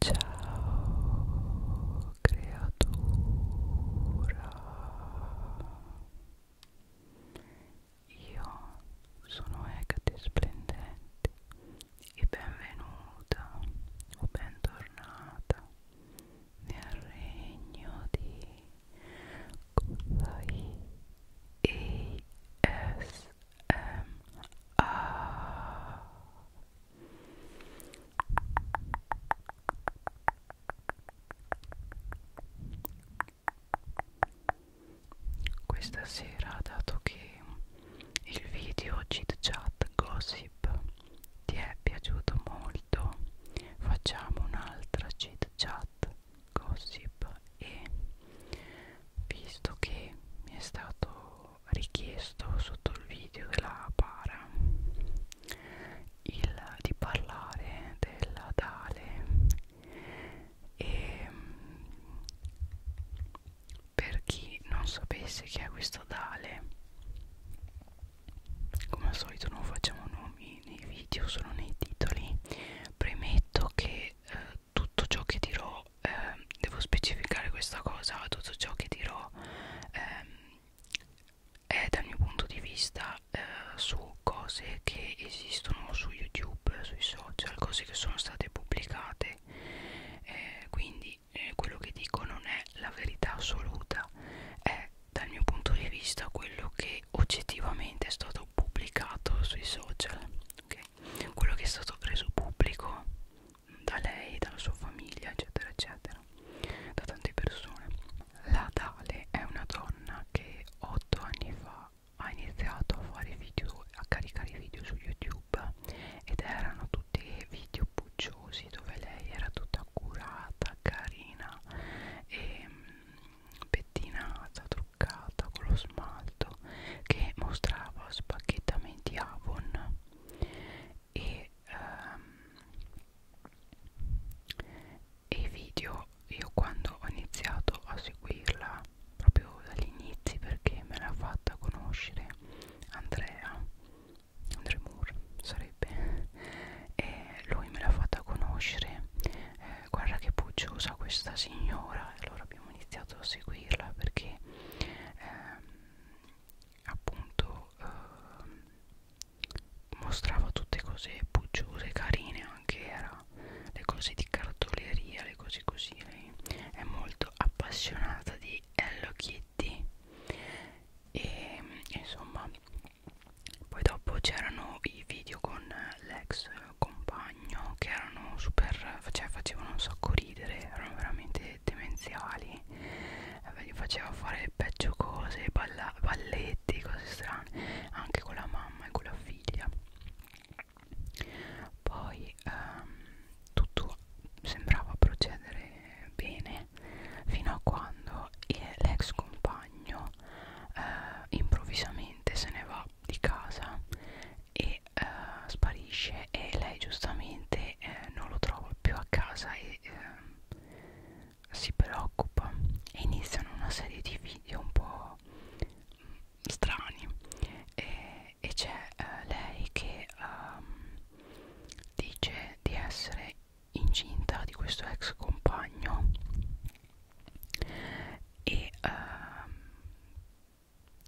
Ciao creatura Io sono Egati Splendente e benvenuta o bentornata nel regno di Kulai ESMA questa sera, dato che il video chit chat gossip ti è piaciuto molto, facciamo un'altra chit chat gossip e visto che mi è stato richiesto sotto il video della para il, di parlare della Dale e mm, per chi non sapesse chi è questa Dale come al solito non facciamo nomi nei video solo nei titoli premetto che eh, tutto ciò che dirò eh, devo specificare questa cosa tutto ciò che dirò ehm, è dal mio punto di vista eh, su cose che esistono su youtube sui social cose che sono state pubblicate eh, quindi eh, quello che dico non è la verità assoluta è dal mio punto di vista quello che oggettivamente è stato pubblicato sui social okay? quello che è stato reso pubblico da lei, dalla sua famiglia, eccetera, eccetera, da tante persone. La Dale è una donna che 8 anni fa ha iniziato a fare video, a caricare video su YouTube ed erano tutti video pucciosi dove lei era tutta curata, carina e ehm, pettinata, truccata con lo smalto che mostrava spacchettamenti Avon e, um, e i video io quando ho iniziato a seguirla proprio dagli inizi perché me l'ha fatta conoscere Andrea Andre Moore sarebbe e lui me l'ha fatta conoscere eh, guarda che pucciosa questa signora allora abbiamo iniziato a seguirla perché ehm, appunto eh, mostrava tutte cose bucciose, carine anche era le cose di cartoleria, le cose così lei è molto appassionata di Hello Kitty e insomma poi dopo c'erano i video con l'ex compagno che erano super cioè facevano un sacco ridere erano veramente cose demenziali eh, gli faceva fare peggio cose balla, balletti cose strane anche con la mamma e con la figlia poi ehm, tutto sembrava procedere bene fino a quando l'ex compagno eh, improvvisamente se ne va di casa e e eh, sparisce e lei giustamente eh, non lo trova più a casa e eh, si preoccupa e iniziano una serie di video un po' strani e, e c'è eh, lei che um, dice di essere incinta di questo ex compagno e uh,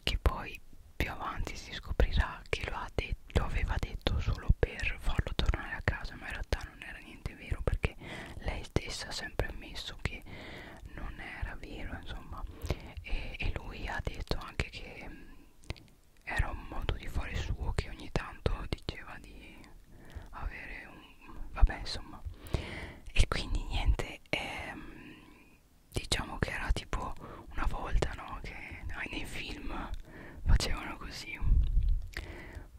che poi più avanti si scoprirà che lo, ha detto, lo aveva detto solo per farlo tornare a casa ma in realtà non era niente vero perché lei stessa ha sempre ammesso che non era vero insomma e, e lui ha detto anche che mm, era un modo di fare suo che ogni tanto diceva di avere un vabbè insomma e quindi niente ehm, diciamo che era tipo una volta no che nei film facevano così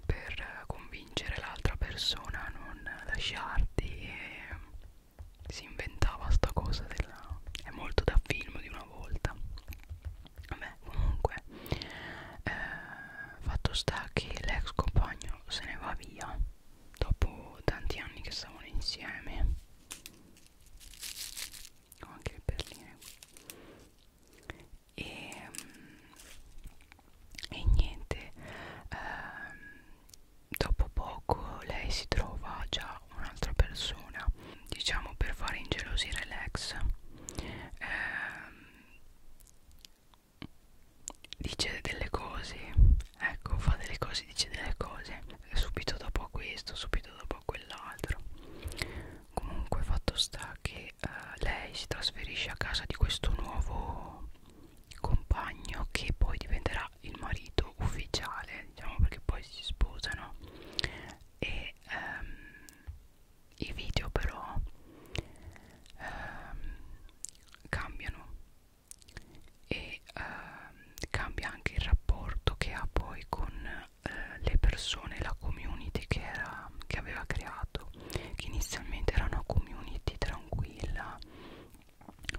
per convincere l'altra persona a non lasciarti e si inventava sta cosa della è molto da film di una volta vabbè comunque eh, fatto sta che l'ex compagno se ne va via dopo tanti anni che stavano insieme ho anche le perline e, ehm, e niente ehm, dopo poco lei si trova già un'altra persona diciamo per fare ingelosire l'ex ehm, dice delle cose ecco fa delle cose dice delle cose subito dopo questo subito dopo po' quell'altro comunque fatto sta che eh, lei si trasferisce a casa di questo nuovo compagno che poi diventerà il marito ufficiale diciamo perché poi si sposano e ehm, i video però ehm, cambiano e eh, cambia anche il rapporto che ha poi con eh, le persone, la community che, era, che aveva creato che inizialmente era una community tranquilla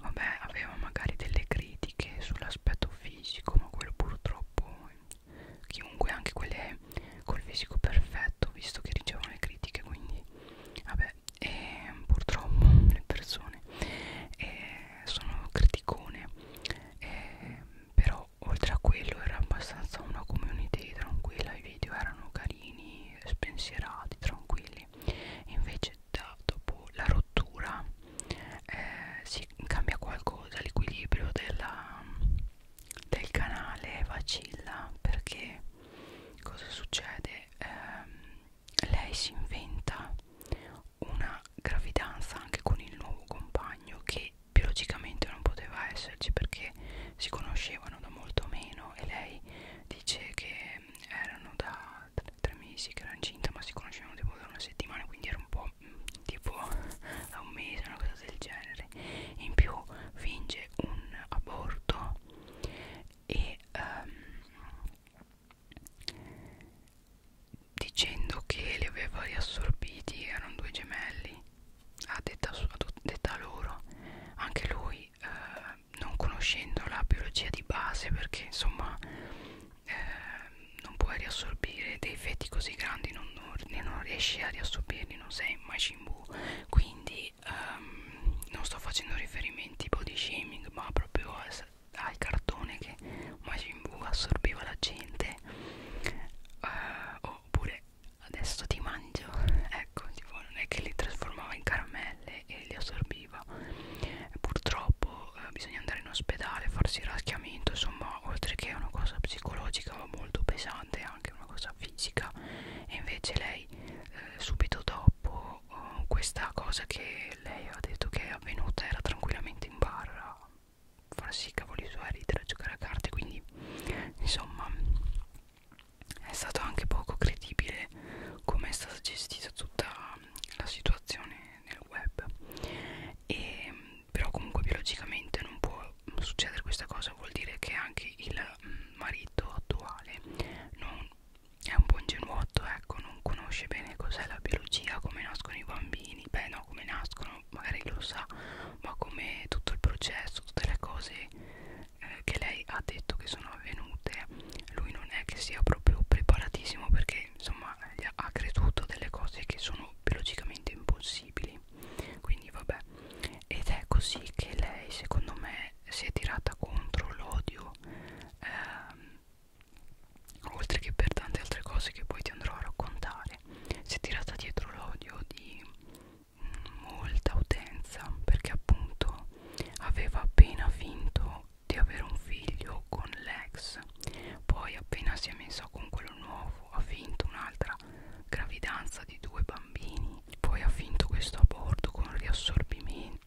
vabbè aveva magari delle critiche sull'aspetto fisico ma quello purtroppo chiunque anche quelle col fisico perfetto visto che ricevono le critiche quindi vabbè e ehm, purtroppo le persone e ehm, sono criticone eh, però oltre a quello era abbastanza una community tranquilla i video erano carini spensierati tranquilli invece da, dopo la rottura eh, si cambia qualcosa l'equilibrio del canale vacilla perché cosa succede eh, lei si inventa una gravidanza anche con il nuovo compagno che biologicamente non poteva esserci perché si conoscevano da molto meno e lei dice che erano da tre, tre mesi che era incinta ma si conoscevano tipo da una settimana quindi era un po' tipo da un mese una cosa del genere in più finge un aborto e um, dicendo che li aveva riassorbiti erano due gemelli a detta, a detta loro anche lui eh, non conoscendo la biologia di base perché insomma eh, non puoi riassorbire dei feti così grandi non, non, non riesci a riassorbirli non sei Majin Buu quindi ehm, non sto facendo riferimenti body shaming ma proprio a al cartone che Majin Buu assorbiva la gente uh, oppure adesso ti mangio ecco tipo non è che li trasformava in caramelle e li assorbiva purtroppo uh, bisogna andare in ospedale farsi il raschiamento insomma oltre che è una cosa psicologica ma molto pesante anche una cosa fisica e invece lei eh, subito dopo uh, questa cosa che che lei ha detto che è avvenuta era tranquillamente in barra farsi i cavoli suoi, ridere, giocare a carte quindi insomma è stato anche poco credibile come è stata gestita tutta la situazione nel web e, però comunque biologicamente non può succedere questa cosa vuol dire che anche il mm, marito attuale non è un buon genuotto ecco, non conosce bene cos'è la biologia, come nascono i bambini, beh no, come nascono, magari lo sa, ma come tutto il processo, tutte le cose eh, che lei ha detto che sono avvenute, lui non è che sia proprio preparatissimo perché insomma ha creduto delle cose che sono biologicamente impossibili, quindi vabbè, ed è così che lei secondo me si è tirata contro l'odio. Ehm, oltre che per tante altre cose che poi ti andrò a raccontare si è tirata dietro l'odio di molta utenza perché appunto aveva appena finto di avere un figlio con l'ex poi appena si è messa con quello nuovo ha finto un'altra gravidanza di due bambini poi ha finto questo aborto con riassorbimento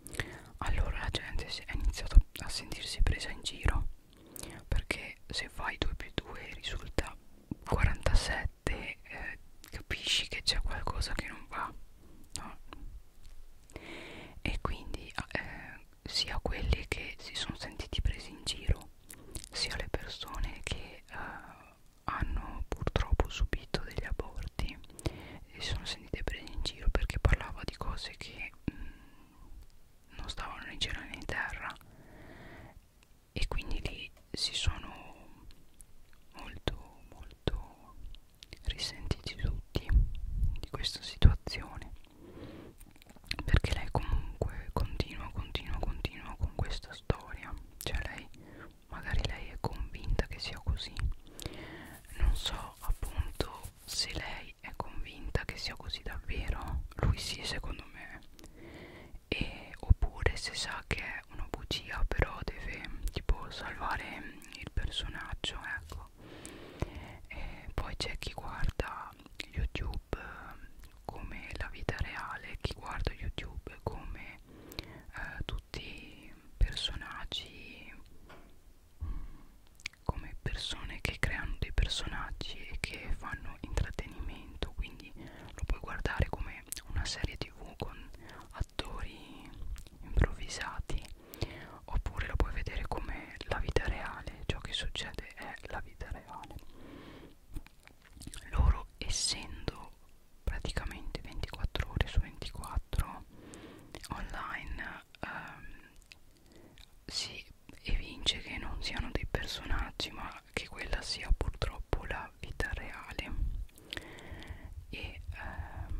allora la gente ha iniziato a sentirsi presa in giro perché se fai 2 più 2 risulta 47 eh, capisci che c'è qualcosa che non va no? e quindi ah, eh, sia quelli che si sono sentiti presi in giro sia le persone che eh, hanno purtroppo subito degli aborti si sono sentite prese in giro perché parlava di cose che mh, mm, non stavano né in cielo né in terra e quindi lì si sono molto molto risentiti tutti di questa situazione perché lei comunque continua continua continua con questa storia cioè lei magari lei è convinta che sia così non so appunto se lei è convinta che sia così davvero, lui sì secondo me, e, oppure se sa che è una bugia però deve tipo salvare il personaggio, ecco. E poi c'è chi guarda YouTube eh, come la vita reale, chi guarda YouTube come eh, tutti personaggi mm, come persone che creano dei personaggi e che fanno intrattenimento quindi lo puoi guardare come una serie tv con attori improvvisati oppure lo puoi vedere come la vita reale ciò che succede è la vita reale loro essendo praticamente 24 ore su 24 online ehm, si evince che non siano dei personaggi ma che quella sia purtroppo la vita reale e ehm,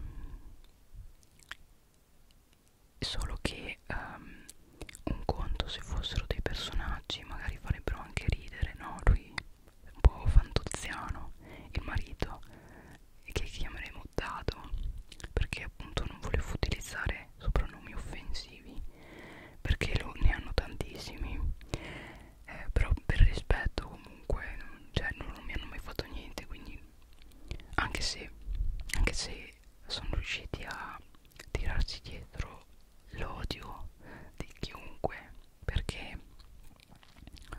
solo che ehm, un conto se fossero dei personaggi magari farebbero anche ridere no lui un po' fantoziano il marito che chiameremo Dado perché appunto non volevo utilizzare soprannomi offensivi perché lo, ne hanno tantissimi eh, però per rispetto comunque non, cioè, non, non mi hanno mai fatto niente quindi anche se, anche se sono riusciti a tirarsi dietro l'odio di chiunque perché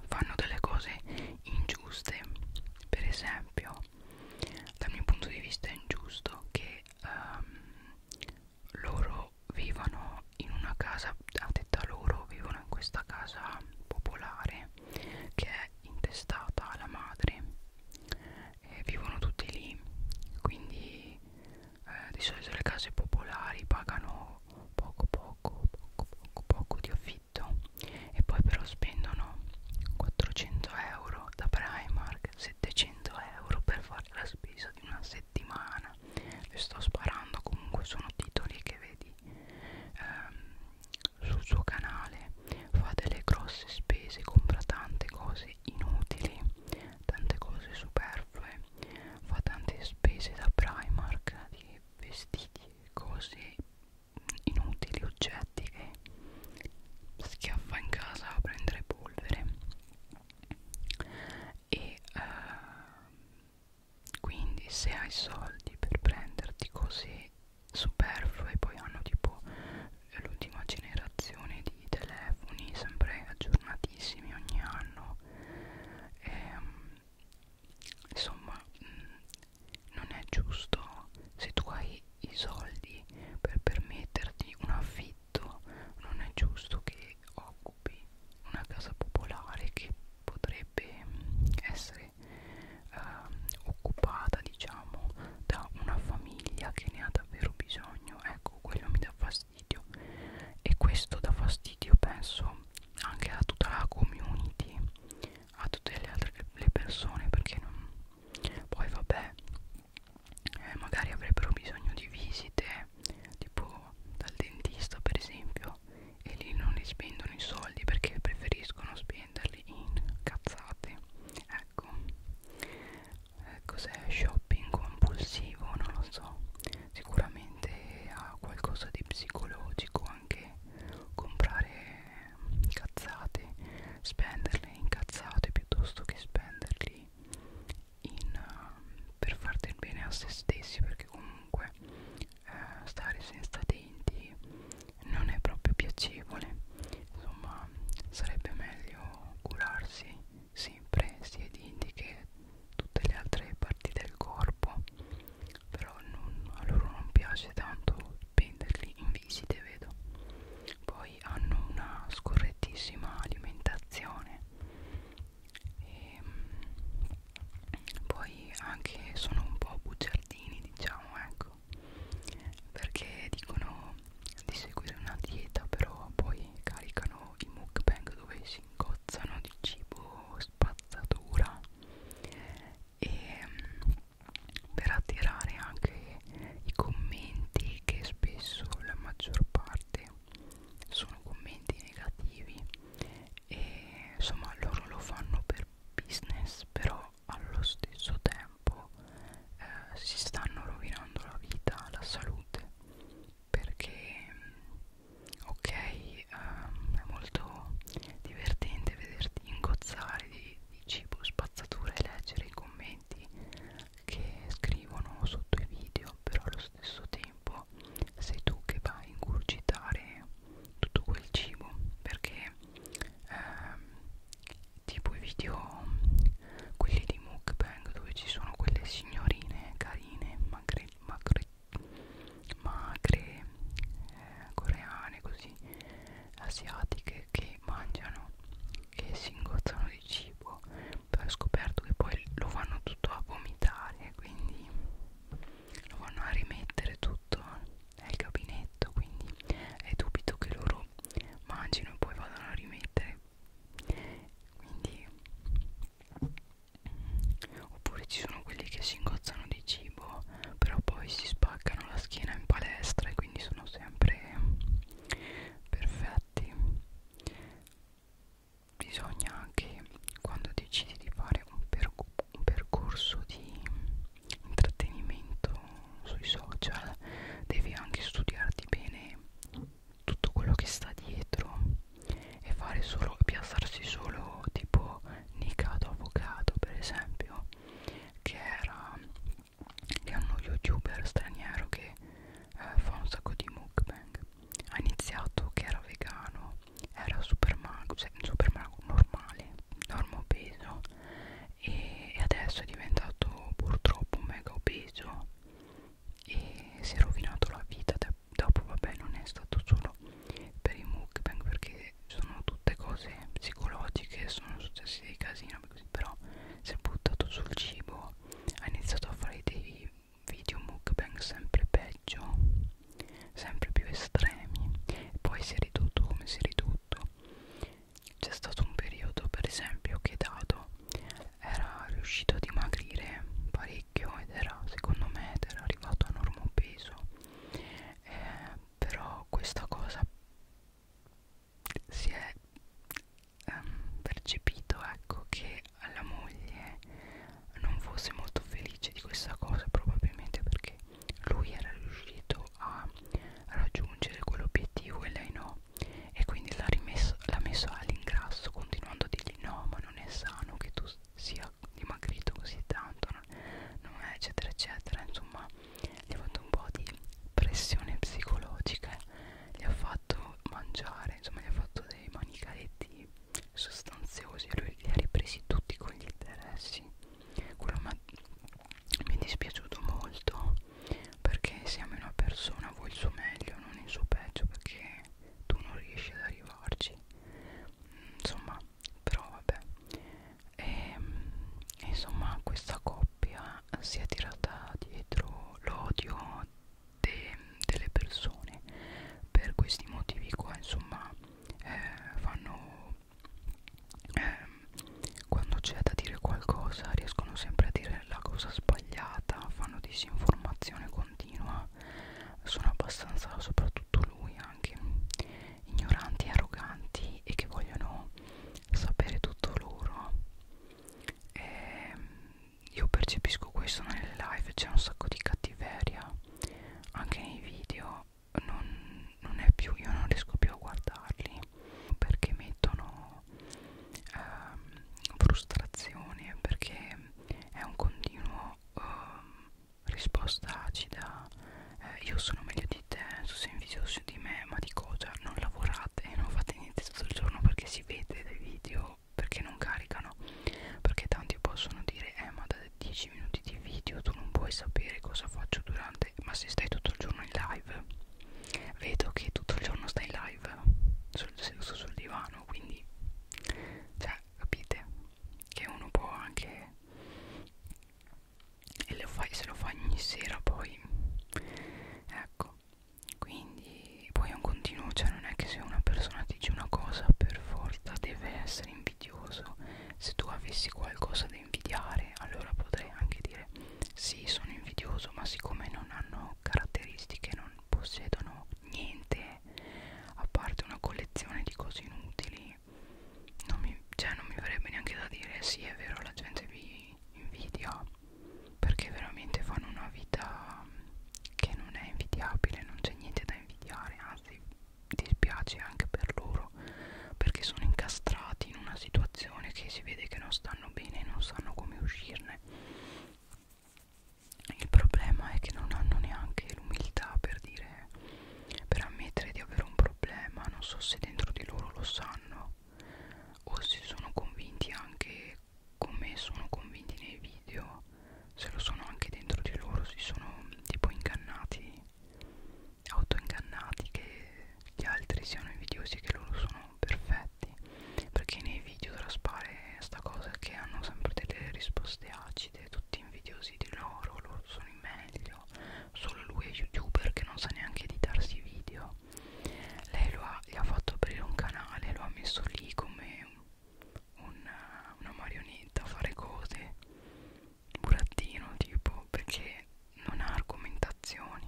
fanno delle cose ingiuste per esempio ingiusto dal mio punto di vista è ingiusto che um, loro vivano in una casa a detta loro vivono in questa casa popolare che è intestata alla madre e vivono tutti lì quindi eh, di solito le case popolari pagano poco poco poco poco poco di affitto detto e poi però spendono 400 euro da Primark 700 euro per fare la spesa di una settimana le sto sparando comunque sono titoli che vedi ehm, sul suo canale fa delle grosse spese compra tante cose inutili tante cose superflue fa tante spese da Primark di vestiti e cose inutili oggetti che schiaffa in casa a prendere polvere e uh, quindi se hai soldi per prenderti cose superflue poi hanno tipo l'ultima generazione di telefoni sempre aggiornatissimi ogni anno e, um, insomma mh, mm, non è giusto se tu hai i soldi per permetterti un affitto non è giusto che occupi una casa popolare che potrebbe mm, essere eh, occupata diciamo da una famiglia che ne ha davvero bisogno ecco quello mi dà fastidio e questo dà fastidio penso anche a tutta la community a tutte le altre le persone perché non poi vabbè eh, magari avrebbero bisogno di visite tipo dal dentista per esempio e lì non li spendono i soldi perché preferiscono spenderli in cazzate ecco eh, cos'è shopping compulsivo non lo so sicuramente ha qualcosa di psicologico anche comprare cazzate spenderle in cazzate piuttosto che spenderli in, uh, per far del bene a se stessi perché comunque uh, stare senza denti non è proprio piacevole insomma sarebbe meglio curarsi sempre sia i denti che tutte le altre parti del corpo però non, a loro non piace tanto prenderli in visite vedo poi hanno una scorrettissima alimentazione e ehm, poi anche sono un po' bugiardini diciamo ecco perché dicono di seguire una dieta però poi caricano i mukbang dove si ingozzano di cibo spazzatura e mm, per attirare anche i commenti che spesso la maggior parte sono commenti negativi e insomma loro lo fanno per business però allo stesso tempo eh, si stanno rovinando la vita, la salute perché mm, ok eh, è molto divertente vederti ingozzare di di cibo spazzatura e leggere i commenti che scrivono sotto i video però allo stesso tempo sei tu che vai a ingurgitare tutto quel cibo perché ehm, tipo i video quelli di mukbang dove ci sono quelle signorine carine magre, magre, magre eh, coreane così asiatiche che mangiano e si ingozzano di cibo poi ho scoperto che poi lo vanno tutto a vomitare quindi lo vanno a rimettere tutto nel gabinetto quindi è dubito che loro mangino e poi vadano a rimettere quindi oppure ci sono quelli che si ingozzano di cibo no però poi si spaccano la schiena in palestra e quindi sono sempre perfetti bisogna anche quando decidi di fare un, perc un percorso di intrattenimento sui social devi anche studiarti bene tutto quello che sta dietro e fare solo piazzarsi solo tipo nicato avvocato per esempio che era che è uno youtuber straniero che eh, fa un sacco di mukbang ha iniziato che era vegano era super mago cioè un super mago normale normo peso e, e adesso è diventato purtroppo mega obeso e si è rovinato la vita dopo vabbè non è stato solo per i mukbang perché che sono tutte cose psicologiche sono successi dei casini così, però si è buttato sul cibo ha iniziato a fare dei video mukbang sempre peggio sempre più estremi poi si è ridotto come si è ridotto c'è stato un periodo per esempio che Dado era riuscito a dimagrire parecchio ed era secondo me ed era arrivato a normo peso eh, però questa cosa si è um, percepito ecco che la moglie non fosse molto felice di questa cosa probabilmente perché lui era riuscito a raggiungere quell'obiettivo e lei no e quindi l'ha rimesso l'ha messo all'ingrasso continuando a dirgli no ma non è sano che tu sia dimagrito così tanto non, non è eccetera eccetera insomma gli ho fatto un po' di pressione psicologica gli ho fatto mangiare insomma gli ho fatto dei manicaretti sostanziosi e lui li ha ripresi tutti con gli interessi quello mi è dispiaciuto molto perché se ami una persona vuoi il suo meglio non il suo peggio perché tu non riesci ad arrivarci insomma però vabbè e, ehm, insomma questa coppia si è tirata dietro l'odio de, delle persone per questi motivi qua insomma eh, fanno eh, quando c'è da dire qualcosa riescono sempre a dire la cosa sbagliata fanno disinformazione continua sono abbastanza soprattutto lui anche ignoranti e arroganti e che vogliono sapere tutto loro e ehm, io percepisco questo nelle live c'è un sacco di cattiveria anche nei video non, non è più io non riesco più a guardarli perché mettono ehm, frustrazione perché è un continuo ehm, risposta acida eh, io sono meglio di te tu sei invidioso di me ma di cosa non lavorate non fate niente tutto il giorno perché si vede dai video perché non caricano perché tanti possono dire eh ma da 10 minuti di video tu non puoi sapere cosa faccio durante ma se stai tutto il giorno in live vedo che tutto il giorno stai in live sul, seduto sul divano quindi cioè capite che uno può anche e lo fai, se lo fai ogni sera poi ecco quindi poi è un continuo cioè non è che se una persona ti dice una cosa per forza deve essere invidioso se tu avessi qualcosa da invidiare allora potrei anche dire sì sono invidioso ma siccome non hanno caratteristiche non possiedono niente a parte una collezione di cose inutili quindi non mi, cioè non mi verrebbe neanche da dire sì è vero la gente vi invidia perché veramente fanno una vita che non è invidiabile non c'è niente da invidiare anzi dispiace anche per loro perché sono incastrati in una situazione che si vede che non stanno bene e non sanno come uscirne il problema è che non hanno neanche l'umiltà per dire per ammettere di avere un problema non so se dentro di loro lo sanno o se sono convinti anche come sono convinti nei video se lo sono anche dentro di loro si sono tipo ingannati autoingannati che gli altri siano invidiosi che loro sono perfetti perché nei video traspare sta cosa che hanno sempre delle risposte acide tutti invidiosi di loro loro sono i meglio solo lui è youtuber che non sa neanche editarsi i video lei lo ha, gli ha fatto aprire un canale lo ha messo lì come una, una marionetta a fare cose burattino tipo perché non ha argomentazioni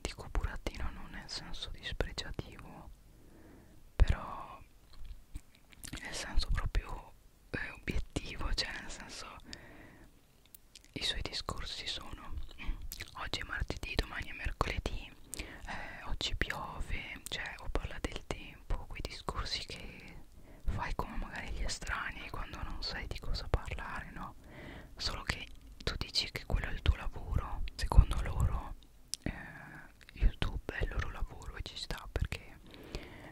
dico burattino non nel senso dispregiativo però nel senso proprio eh, obiettivo, cioè nel senso i suoi discorsi sono mm, oggi è martedì, domani è mercoledì, eh, oggi piove, cioè o parla del tempo, quei discorsi che fai come magari gli estranei quando non sai di cosa parlare, no? Solo che tu dici che quello è il tuo lavoro, secondo loro eh, YouTube è il loro lavoro e ci sta perché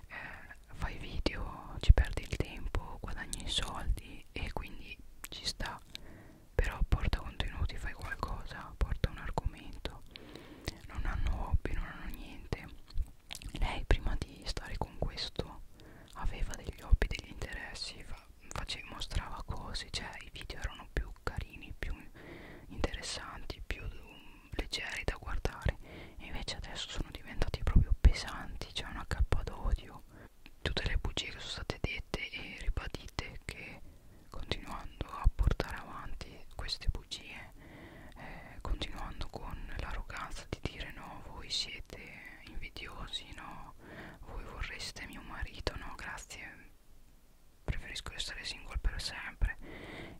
eh, fai video, ci perdi il tempo, guadagni i soldi e quindi ci sta però porta contenuti, fai qualcosa, porta un argomento non hanno hobby, non hanno niente lei prima di stare con questo aveva degli hobby, degli interessi fa, face, mostrava cose, cioè i video erano più carini, più interessanti, più leggeri da guardare invece adesso sono diventati proprio pesanti c'è una cappa d'odio tutte le bugie che sono state dette e ribadite che continuando a portare avanti queste bugie eh, continuando con l'arroganza di dire no voi siete invidiosi no voi vorreste mio marito no grazie preferisco restare single per sempre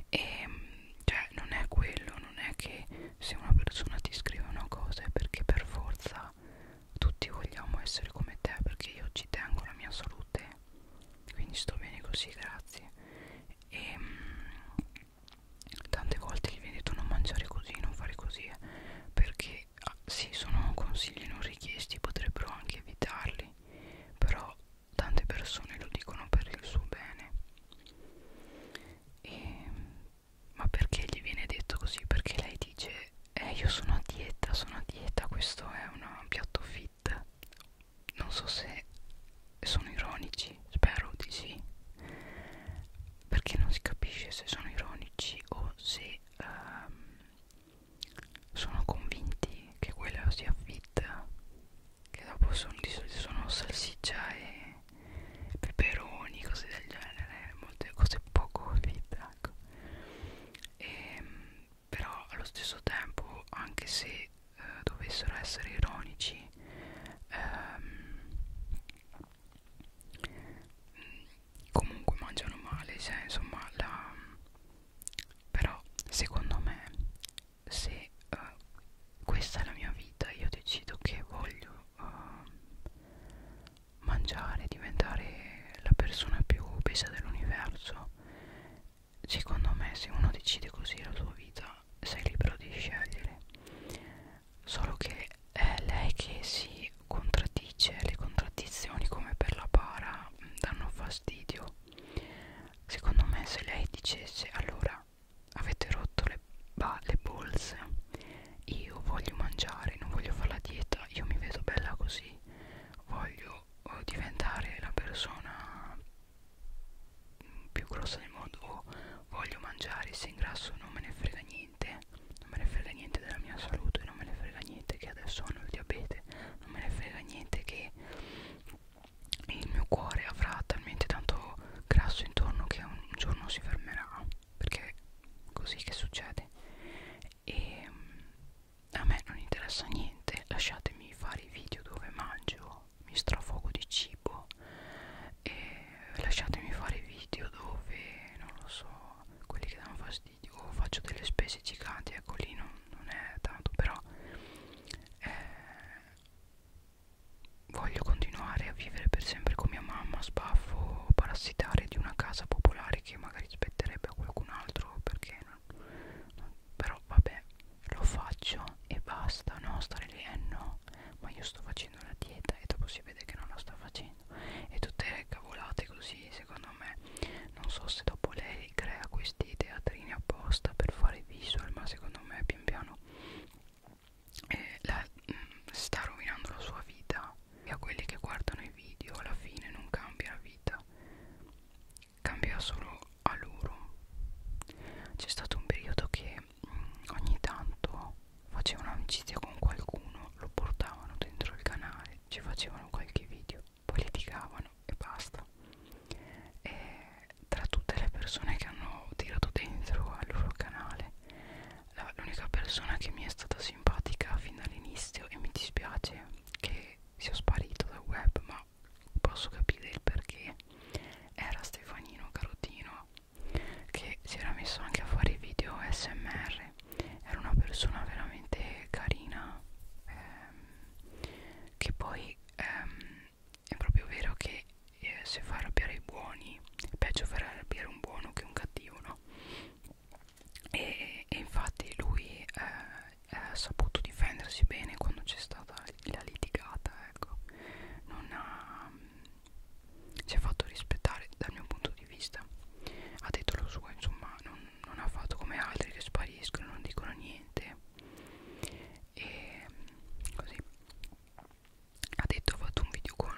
e ehm, cioè non è quello non è che se una persona ti scrive una cosa è perché per forza tutti vogliamo essere come te perché io ci tengo la mia salute quindi sto bene così grazie e ehm, mh, tante volte gli viene detto non mangiare così non fare così eh, perché ah, sì sono consigli non richiesti potrebbero anche evitarli però tante persone lo dicono per il suo bene e, ma perché gli viene detto così? Perché lei dice eh io sono a dieta, sono a dieta, questo è una, un piatto fit. Non so se sono ironici, spero di sì. Perché non si capisce se sono ironici o se um, sono convinti che quella sia fit che dopo sono di solito sono salsiccia e peperoni, cose del genere, molte cose poco fit, ecco. E, ehm, però allo stesso tempo, anche se eh, dovessero essere ironici, ehm, comunque mangiano male, cioè, insomma, la, però secondo me se uh, questa è la mia vita io decido che voglio uh, mangiare diventare la persona più obesa dell'universo secondo me se uno decide così la sua vita sei libero di scegliere solo che è lei che si contraddice le contraddizioni come per la para mm, danno fastidio secondo me se lei dicesse allora avete rotto le, bah, le bolse io voglio mangiare non voglio fare la dieta io mi vedo bella così voglio oh, diventare la persona più grossa del mondo o oh, voglio mangiare se ingrasso non me ne frega niente non me ne frega niente della mia salute non me ne frega niente che adesso hanno il diabete non me ne frega niente che il mio cuore avrà talmente tanto grasso intorno che un giorno si fermerà perché così che succede e a me non interessa niente lasciatemi fare i video dove mangio mi strafogo di cibo e lasciatemi fare i video dove non lo so quelli che danno fastidio o faccio delle spese giganti ecco lì non, non è tanto però eh, Voglio continuare a vivere per sempre con mia mamma, sbaffo, parassitare di una casa popolare che magari spetterebbe a qualcun altro perché non, non, però vabbè, lo faccio e basta, no, stare lì eh no, ma io sto facendo la dieta e dopo si vede che non la sta facendo e tutte le cavolate così, secondo me, non so se dopo lei crea questi teatrini apposta per fare visual, ma secondo me pian piano eh, la, mh, mm, sta rovinando la sua vita e a quelli che guardano i video alla fine non cambia la vita cambia solo a loro c'è stato un periodo che mh, mm, ogni tanto facevano amicizia con qualcuno lo portavano dentro il canale ci facevano qualche video poi litigavano e basta e tra tutte le persone che hanno tirato dentro al loro canale l'unica persona che mi è stata simpatica fin dall'inizio e mi dispiace che sia sparito dal web ma posso capire il perché era Stefanino Carotino che si era messo anche a fare video smr era una persona veramente carina ehm, che poi ehm, è proprio vero che eh, se fa arrabbiare i buoni è peggio far arrabbiare un buono che un cattivo, no? E, e infatti lui eh, ha saputo difendersi bene quando c'è stata la litigata, ecco, non ha, mm, si è fatto rispettare dal mio punto di vista, ha detto lo suo, insomma, non, non ha fatto come altri che spariscono, non dicono niente e mm, così ha detto ho fatto un video con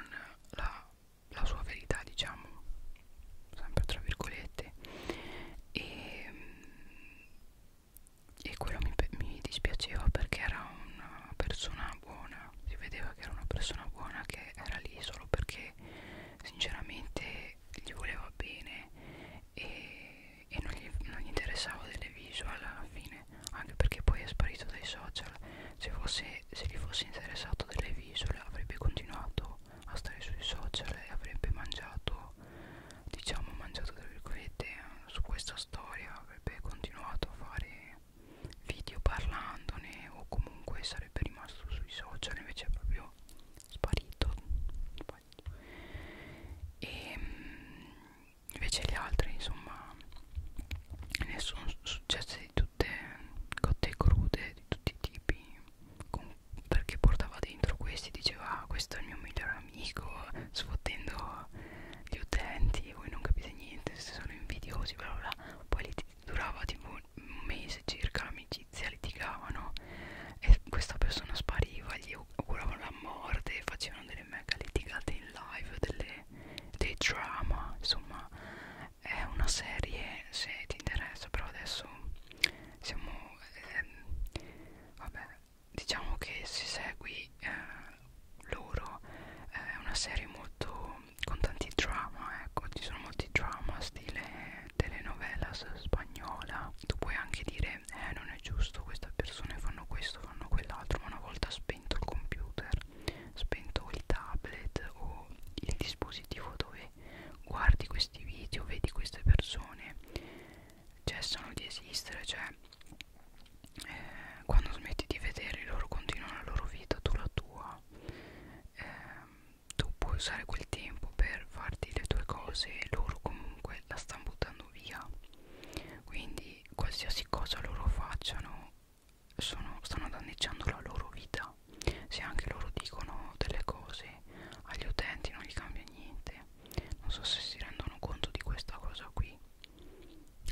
la, la sua verità diciamo sempre tra virgolette e, e quello mi, mi dispiaceva perché era una persona buona si vedeva che era una persona buona che era lì solo perché sinceramente gli voleva bene e e non gli, non gli interessava delle visual alla fine anche perché poi è sparito dai social se, fosse, se gli fosse interessato delle visual avrebbe continuato a stare sui social e avrebbe mangiato diciamo mangiato tra virgolette su questa storia avrebbe continuato a fare video parlandone o comunque sarebbe rimasto sui social invece è proprio sparito, sparito. E, ehm, invece gli altri insomma ne sono successe di tutte cotte crude di tutti i tipi con, perché portava dentro questi diceva ah, questo è il mio migliore amico sfottendo gli utenti voi non capite niente se sono invidiosi bla bla bla poi li durava tipo un mese circa l'amicizia litigavano e questa persona spariva gli auguravano la morte facevano delle delle mega litigate in live, delle, dei drama, insomma è una serie se ti interessa, però adesso siamo... Ehm, vabbè, diciamo che si segui eh, loro, è una serie molto... con tanti drama, ecco, ci sono molti drama, stile telenovelas spagnola, tu puoi anche dire eh non è giusto queste persone fanno questo fanno quell'altro ma una volta spento il computer spento il tablet o il dispositivo dove guardi questi video vedi queste persone cessano di esistere cioè eh, quando smetti di vederli loro continuano la loro vita tu la tua eh, tu puoi usare quel tempo per farti le tue cose loro comunque la stanno buttando via quindi quindi qualsiasi cosa loro facciano sono, stanno danneggiando la loro vita se anche loro dicono delle cose agli utenti non gli cambia niente non so se si rendono conto di questa cosa qui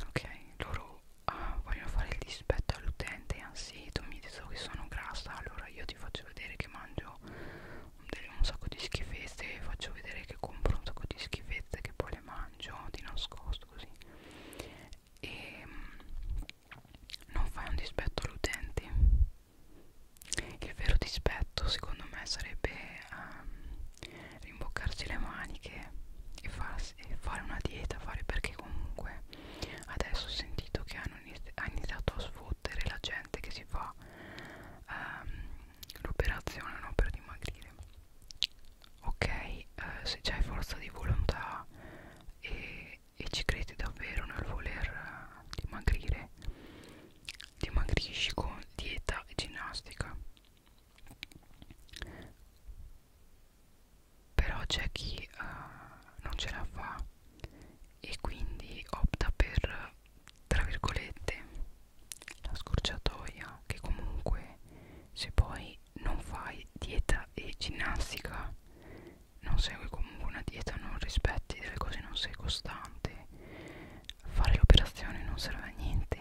ok loro ah, vogliono fare il dispetto all'utente anzi tu mi dici che sono grassa allora io ti faccio vedere che mangio un sacco di schifezze faccio vedere che compro un sacco di schifezze che poi poi le mangio di nascosto così e mm, non fai un dispetto all'utente il vero dispetto secondo me sarebbe um, rimboccarsi le maniche e, farsi, e fare una dieta fare perché comunque adesso ho sentito che hanno inizi ha iniziato a sfottere la gente che si fa um, l'operazione no, per dimagrire ok eh, se hai forza di volontà e, e ci credi davvero nel voler eh, dimagrire dimagrisci con dieta e ginnastica però c'è chi eh, non ce la fa e quindi opta per tra virgolette la scorciatoia che comunque se poi non fai dieta e ginnastica non segui comunque una dieta non rispetti delle cose non sei costante fare l'operazione non serve a niente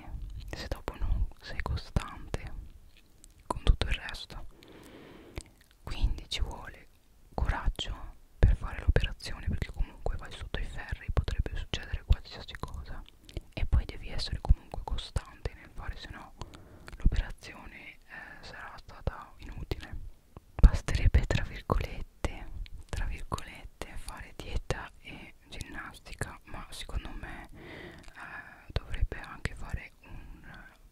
se dopo non sei costante con tutto il resto quindi ci vuole coraggio per fare l'operazione perché comunque vai sotto i ferri potrebbe succedere qualsiasi cosa e poi devi essere comunque costante nel fare se no l'operazione eh, sarà stata inutile basterebbe tra virgolette tra virgolette fare dieta e ginnastica ma secondo me eh, dovrebbe anche fare un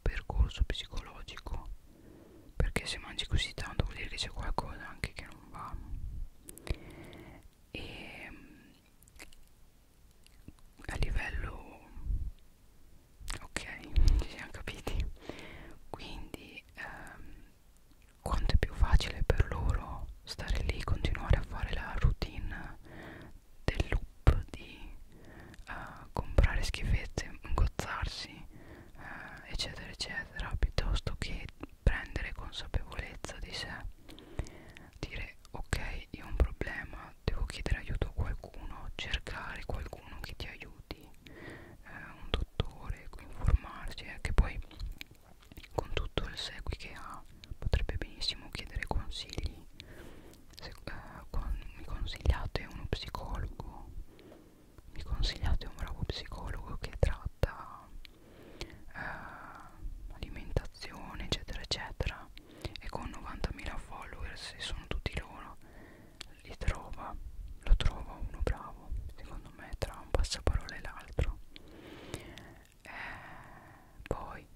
percorso psicologico perché se mangi così tanto vuol dire che c'è qualcosa anche che non va e mm, a livello ok ci siamo capiti quindi ehm, quanto è più facile per loro stare lì continuare a fare la routine del loop di eh, comprare schifezze ingozzarsi eh, eccetera eccetera piuttosto che prendere consapevolezza di sé dire ok io ho un problema devo chiedere aiuto a qualcuno cercare qualcuno che ti aiuti eh, un dottore informarsi eh, che poi con tutto il segui che ha potrebbe benissimo chiedere consigli se, eh, con, mi consigliate uno psicologo mi consigliate un bravo psicologo che tratta eh, alimentazione eccetera eccetera e con 90.000 follower se sono tutti loro li trova lo trova uno bravo secondo me tra un passaparola e l'altro eh, poi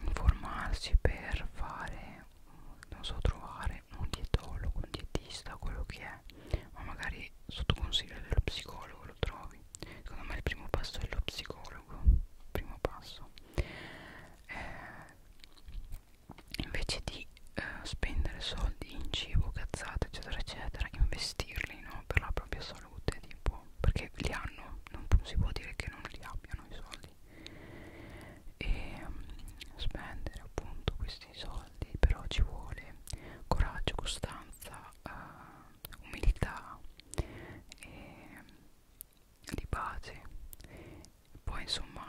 informarsi per fare non so trovare un dietologo un dietista quello che è ma magari sotto consiglio dello psicologo lo trovi lui secondo me il primo passo è lo psicologo primo passo eh, invece di eh, spendere soldi in cibo cazzate eccetera eccetera investirli no, per la propria salute tipo perché li hanno non si può dire che non li abbiano i soldi e um, spendere appunto questi soldi però ci vuole coraggio costanza eh, umidità e di pace poi insomma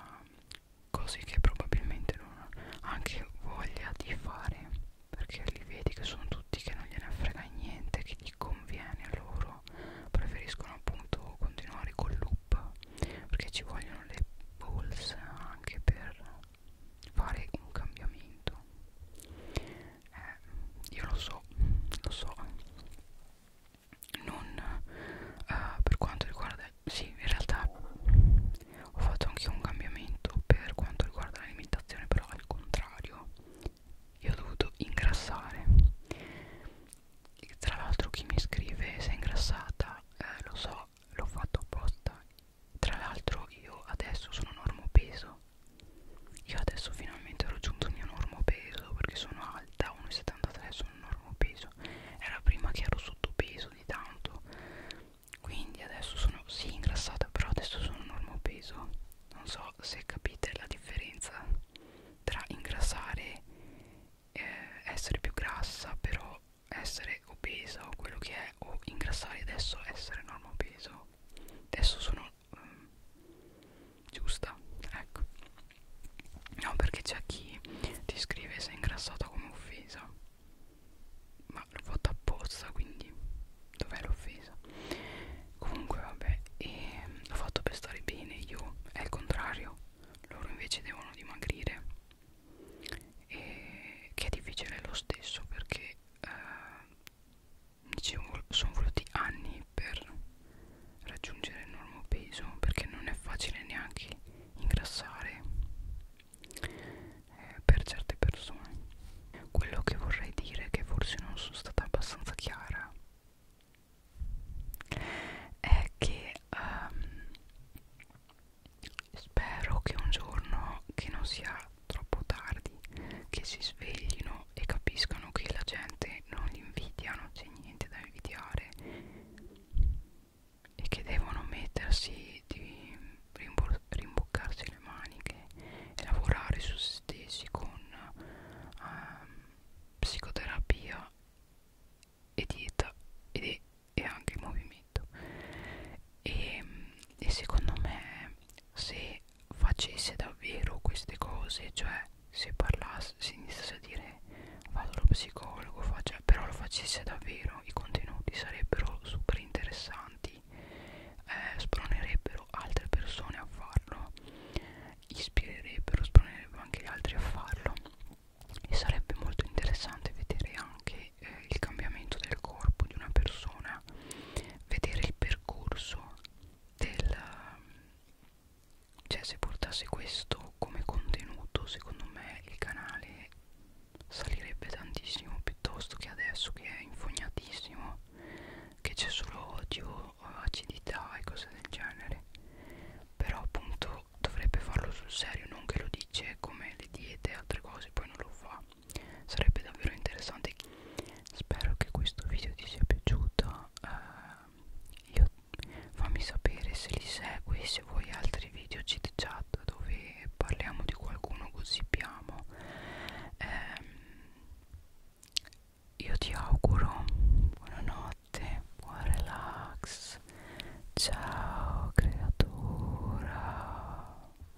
cose che probabilmente non anche voglia di fare perché li vedi che sono tutti che non gliene frega niente che gli conviene a loro preferiscono appunto continuare col loop perché ci vogliono le pulse anche per fare un cambiamento eh, io lo so lo so non eh, per quanto riguarda sì in realtà ho fatto anche un cambiamento per quanto riguarda l'alimentazione però al contrario io ho dovuto ingrassare tra l'altro chi mi scrive sei ingrassata eh, lo so l'ho fatto apposta tra l'altro io adesso sono normo peso. Io adesso finalmente ho raggiunto il mio normo peso perché sono alta 1,73 sono normo peso. Era prima che ero sottopeso di tanto. Quindi adesso sono sì ingrassata, però adesso sono normo peso. Non so se capite la differenza tra ingrassare eh, essere più grassa, però essere obesa o quello che è o ingrassare adesso essere normopeso adesso sono um, giusta ecco no perché c'è chi ti scrive sei ingrassata come offesa ma l'ho fatto apposta quindi dov'è l'offesa comunque vabbè e ehm, l'ho fatto per stare bene io è il contrario loro invece devono dimagrire e che è difficile lo stesso perché eh, ci sono voluti anni per raggiungere il normo peso perché non è facile neanche ingrassare eh, per certe persone quello che vorrei dire che forse non sono stata abbastanza chiara è che um, spero che un giorno che non sia troppo tardi che si sveglino e capiscano che la gente non li invidia, non c'è niente da invidiare e che devono mettersi di rimboccarsi le maniche e lavorare su se stessi con um, psicoterapia e dieta ed è, e anche movimento e, e secondo me se facesse davvero queste cose cioè se parlasse si iniziasse a dire vado allo psicologo faccia, però lo facesse davvero i contenuti sarebbero super interessanti eh, spronerebbero altre persone a farlo ispirerebbero spronerebbero anche gli altri a farlo e sarebbe molto interessante vedere anche vedere eh, il cambiamento del corpo di una persona, vedere il percorso del... cioè se portasse questo come contenuto secondo me il canale salirebbe tantissimo piuttosto che adesso che è infognatissimo, che c'è solo odio, acidità e cose del genere però appunto dovrebbe farlo sul serio non che lo dice come le diete e altre cose poi non lo fa sarebbe davvero interessante spero che questo video ti sia piaciuto eh, io, fammi sapere se li segui se vuoi altri video chit chat dove parliamo di qualcuno gossipiamo eh, io ti auguro buonanotte buon relax ciao creatura